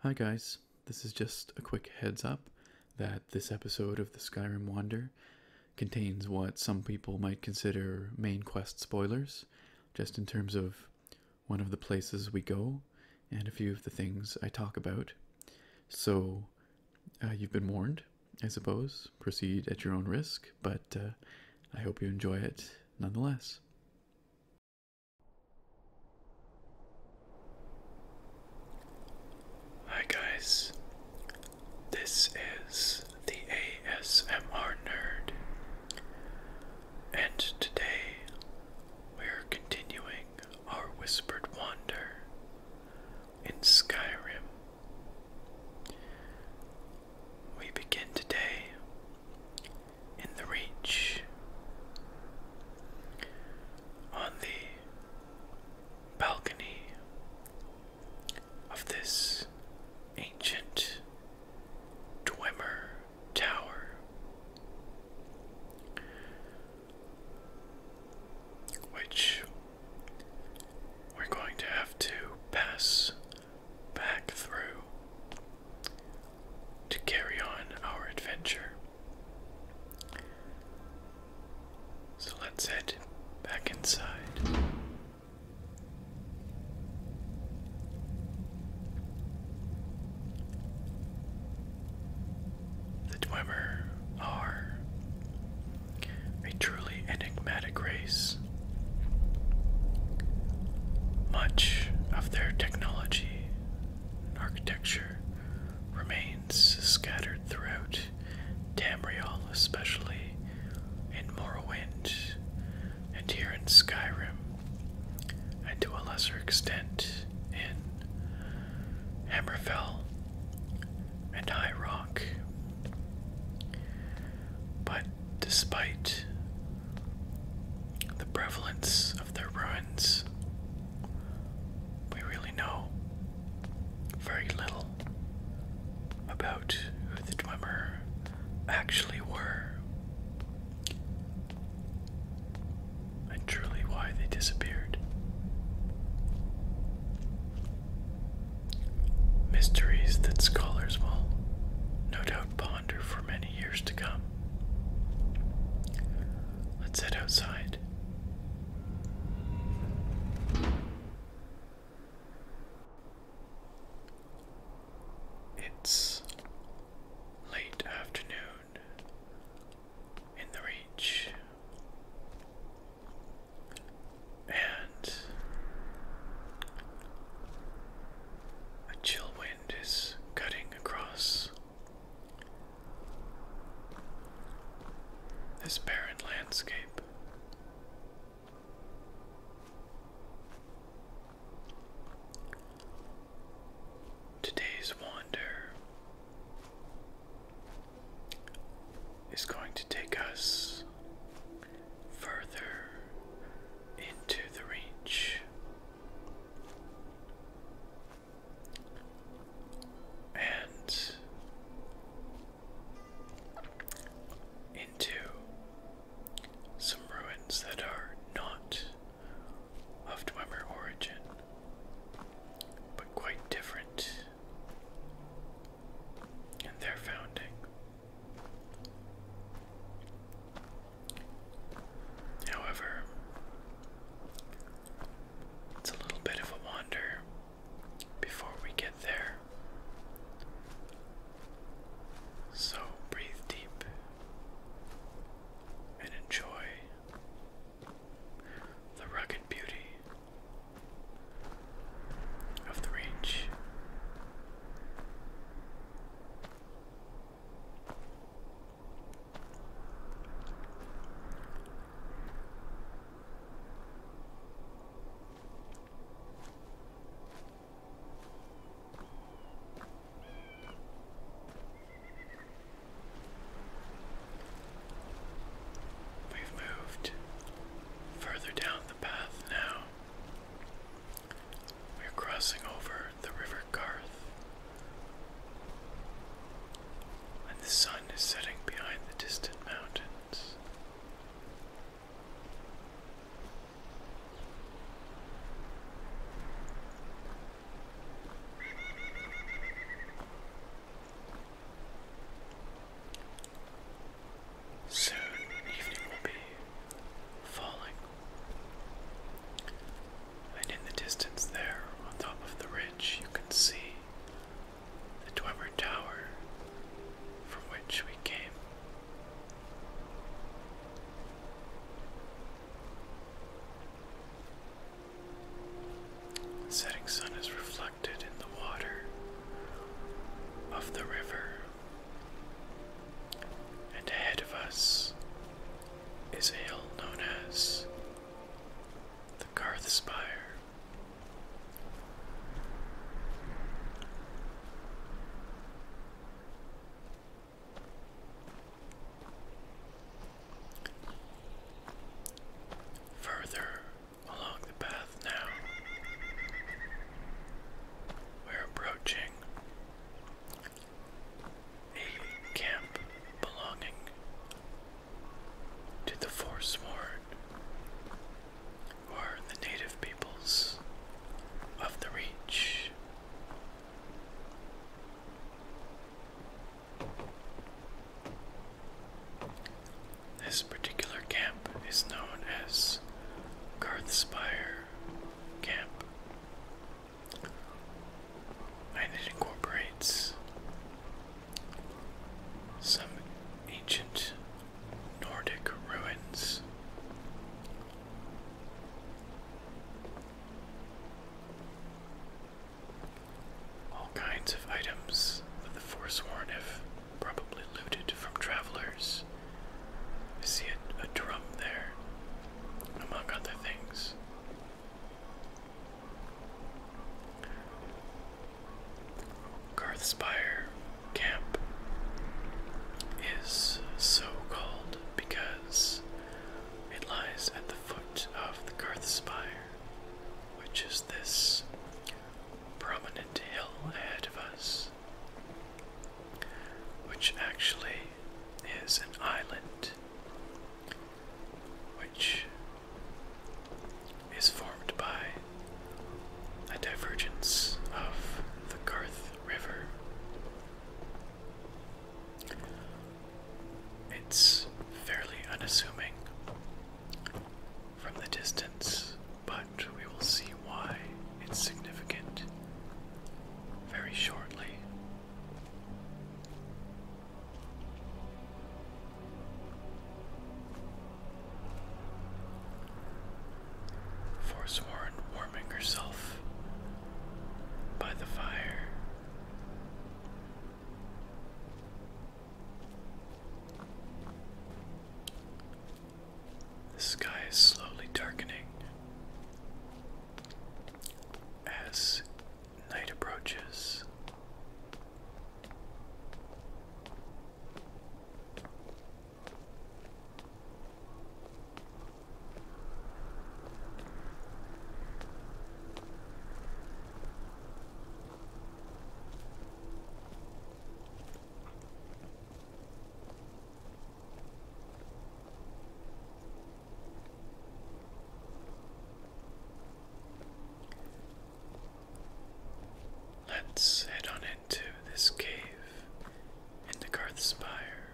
Hi guys, this is just a quick heads up that this episode of the Skyrim Wander contains what some people might consider main quest spoilers, just in terms of one of the places we go and a few of the things I talk about. So uh, you've been warned, I suppose. Proceed at your own risk, but uh, I hope you enjoy it nonetheless. Hi, guys. This is the ASMR Nerd, and today we're continuing our whispered wander in Skyrim. We begin today in the Reach on the balcony of this ancient Dwemer Tower which we're going to have to pass back through to carry on our adventure. So let's head back inside. The Dwemer are a truly enigmatic race. Much of their technology and architecture remains scattered throughout Tamriel, especially in Morrowind and here in Skyrim, and to a lesser extent in Hammerfell and high rock. But despite the prevalence of their ruins, we really know very little about who the Dwemer actually were and truly why they disappeared. Mysteries that scholars will no doubt ponder for many years to come. Let's head outside. It's late afternoon, in the reach. And a chill wind is cutting across this barren landscape. Today's wander is going to take us further into the reach. And into some ruins that are not of Dwemer origin but quite different in their founding. However, it's a little bit of a wander before we get there. So breathe deep and enjoy the rugged beauty of the range. We've moved further down the path now. We're crossing over the River Garth. And the sun is setting behind the distant mountains. Soon evening will be falling. And in the distance there, on top of the ridge, you can see the Dwemer Tower from which we came. The setting sun is reflected in the water of the river, and ahead of us is a hill known as the Garth Spire. Further along the path now, we're approaching a camp belonging to the Forsworn, who the native peoples of the Reach. This particular camp is known as Garthspire Camp, and it incorporates some ancient Nordic ruins. All kinds of items that the Forsworn have probably looted from travelers. I see a, a drum there, among other things. Garthspire Camp is so called because it lies at the foot of the Garthspire, which is this prominent hill ahead of us, which actually is an island which is formed by a divergence of the Garth River. It's fairly unassuming from the distance, but we will see why it's significant very shortly. Forsworn warming herself by the fire. The sky is slowly darkening as night approaches. Let's head on into this cave in the Garth Spire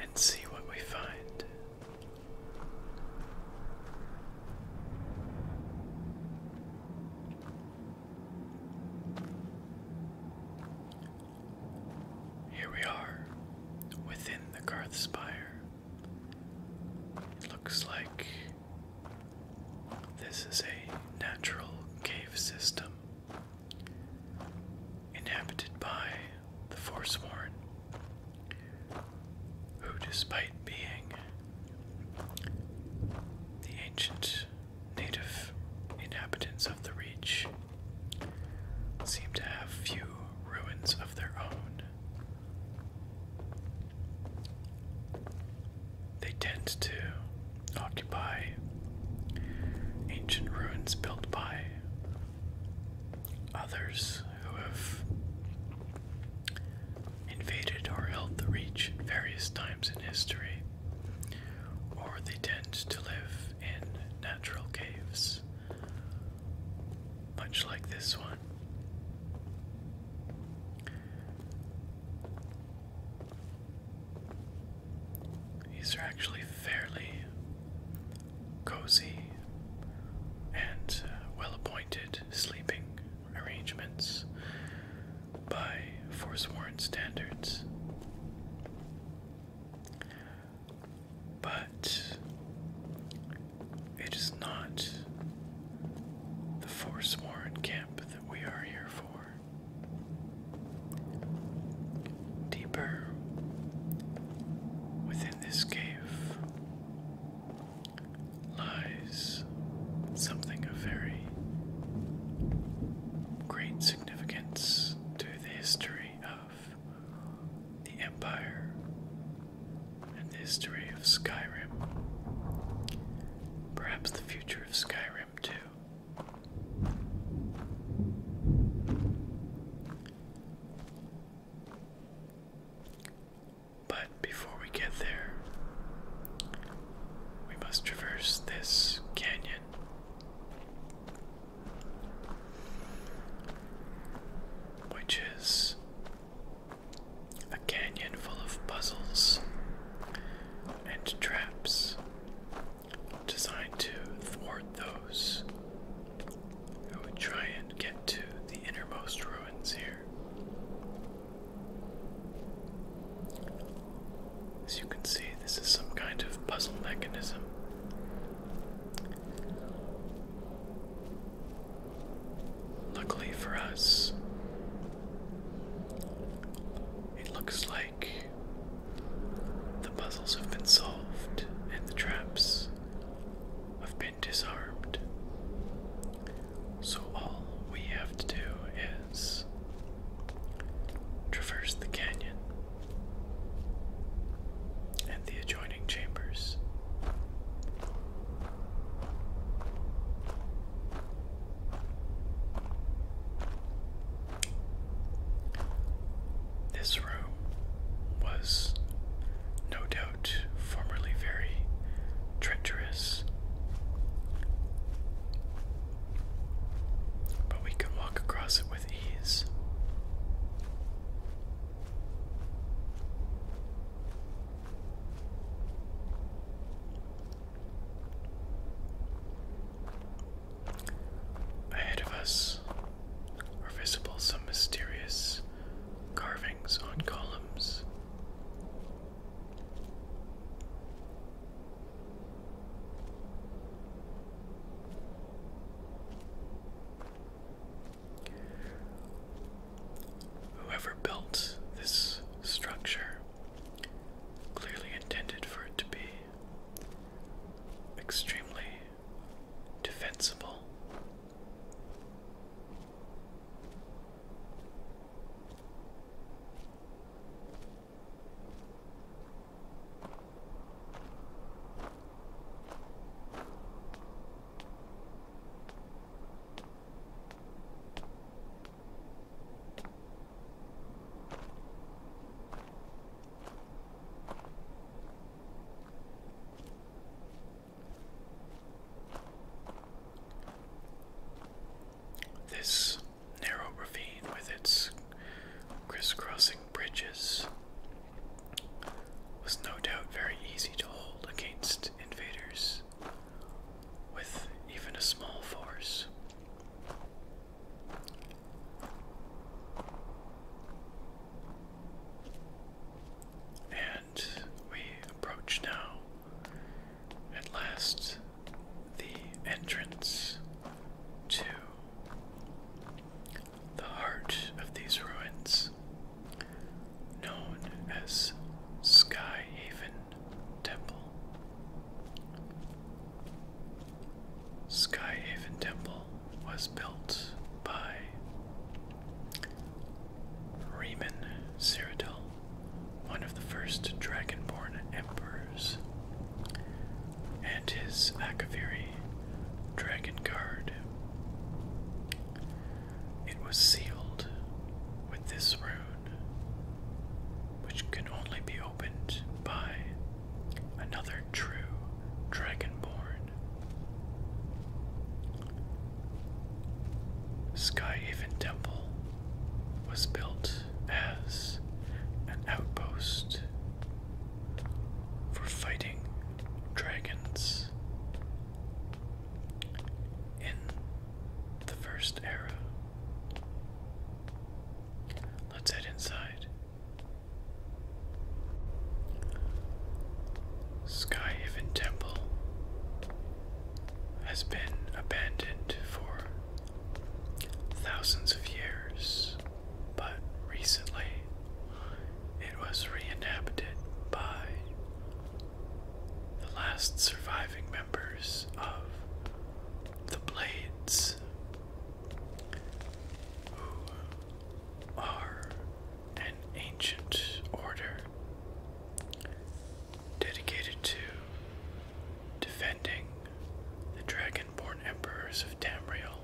and see what we find. Here we are, within the Garth It looks like this is a natural cave system inhabited by the Forsworn, who, despite being the ancient native inhabitants of the Reach, seem to have few ruins of their own. They tend to occupy ancient ruins built by others who have invaded or held the Reach at various times in history, or they tend to live in natural caves, much like this one. These are actually fairly cozy and uh, well appointed sleeping arrangements by forsworn standards. But it is not the forsworn camp that we are here for. Deeper within in this cave lies something of very great significance to the history of the Empire and the history of Skyrim. Perhaps the future of Skyrim, too. But before we get there, we must traverse this canyon. Which is a canyon full of puzzles and traps designed to thwart those I would try and get to the innermost ruins here. As you can see, this is some kind of puzzle mechanism. Luckily for us, it looks like the puzzles have been solved, and the traps have been disarmed. So all we have to do is traverse the canyon and the adjoining chambers. This room was no doubt formerly very treacherous, but we can walk across it with ease. Ahead of us are visible some mysterious carvings on columns. Whoever built this structure clearly intended for it to be extremely defensible. This narrow ravine with its crisscrossing bridges was no doubt very easy to hold against invaders with even a small force. And we approach now, at last, the entrance to the heart of these ruins, known as Sky Haven Temple. Skyhaven Temple was built by Riemann Cyrodiil, one of the first Dragonborn emperors, and his Akaviri Dragon Guard. It was sealed with this rune, which can only be opened by another true dragonborn. Skyhaven Temple was built as an outpost for fighting dragons in the first era. Let's head inside. Skyhaven Temple has been abandoned for thousands of years, but recently it was re-inhabited by the last surviving members of the Blades, are an ancient order dedicated to defending the dragonborn emperors of Tamriel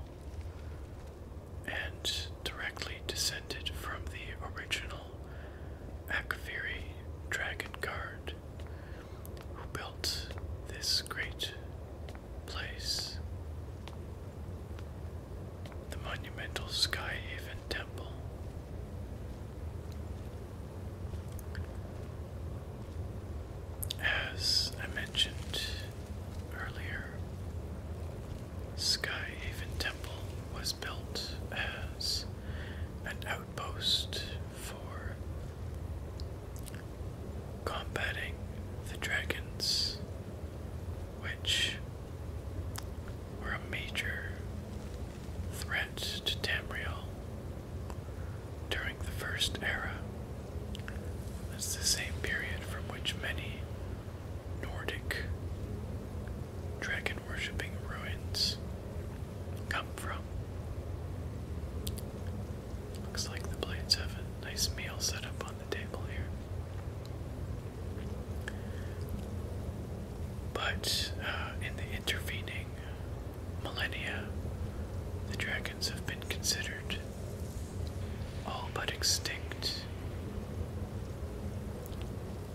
and directly descended from the original Akfiri dragon guard who built this great place. The monumental Sky Skyhaven Temple. As I mentioned earlier, Sky Skyhaven Temple was built as an outpost for combating the dragons, which were a major threat to Tamriel during the First Era. That's the same period from which many Nordic dragon worshipping ruins come from. Looks like the blades have a nice meal set up on the table here. But uh, in the intervening millennia, the dragons have been considered all but extinct.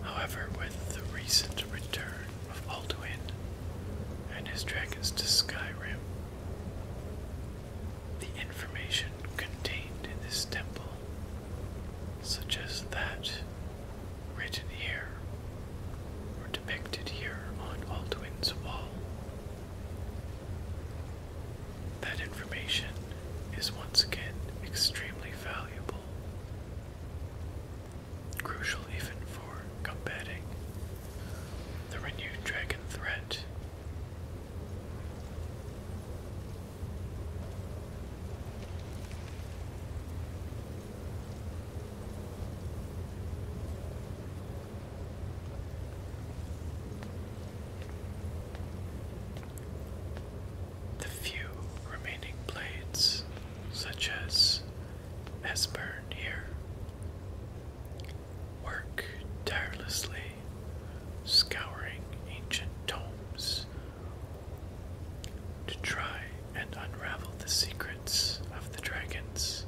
However, with the recent return of Alduin and his dragons to Skyrim, the information contained in this temple, such as that written here or depicted here on Aldwin's wall. That information is once again extremely valuable, crucial even for combating the renewed dragon threat the few remaining blades, such as has burned here, work tirelessly, scouring ancient tomes to try and unravel the secrets of the dragons,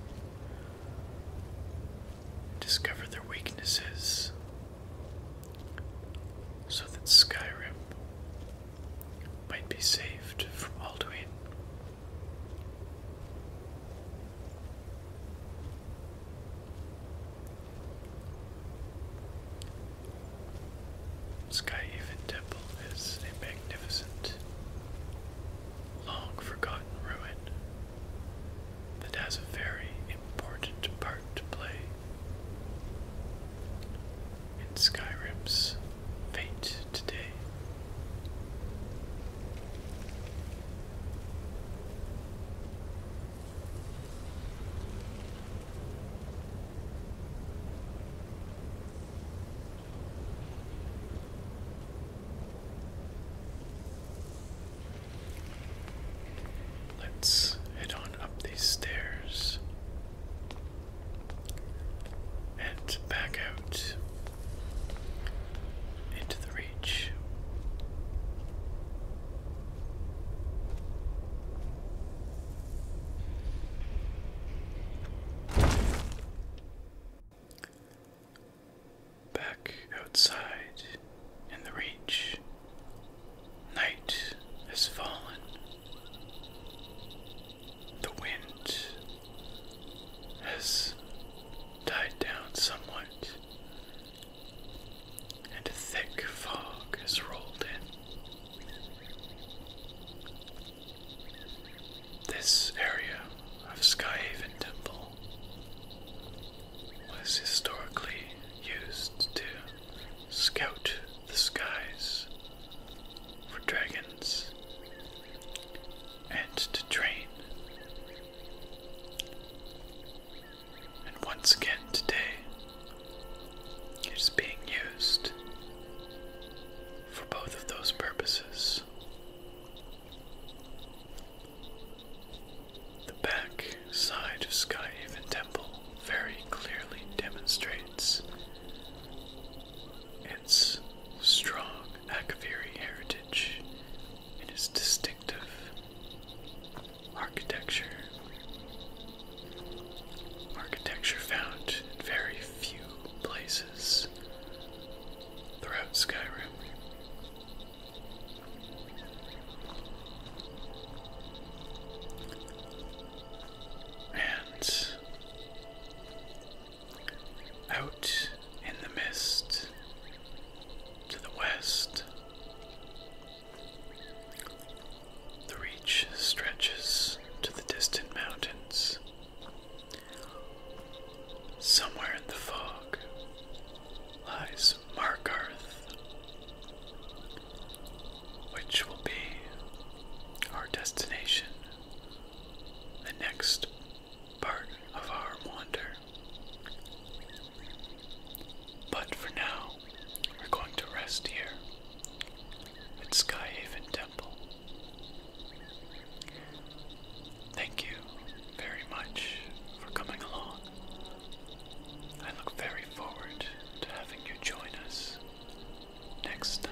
discover their weaknesses, so that Skyrim might be saved from Alduin. Skyhaven Temple is a magnificent, long forgotten ruin that has a very important part to play in Skyrim's fate today. Let's head on up these stairs and back out into the reach. Back outside in the reach, night has fallen. The wind has died down somewhat, and a thick fog has rolled in. This area of Skyhaven Temple was historically used to scout the skies for dragons and to train. And once again today, it is being used for both of those purposes. The back side of Skyhaven Temple very clearly demonstrates its strong Akaviri heritage in its distinctive architecture. Architecture found in very few places throughout Skyrim. And out in the mist to the west, the reach stretches to the distant mountains. Somewhere in the fog lies Markarth, which will be our destination, the next part of our wander. But for now, we're going to rest here at Skyhaven Temple. Thank you very much for coming along. I look very forward to having you join us next time.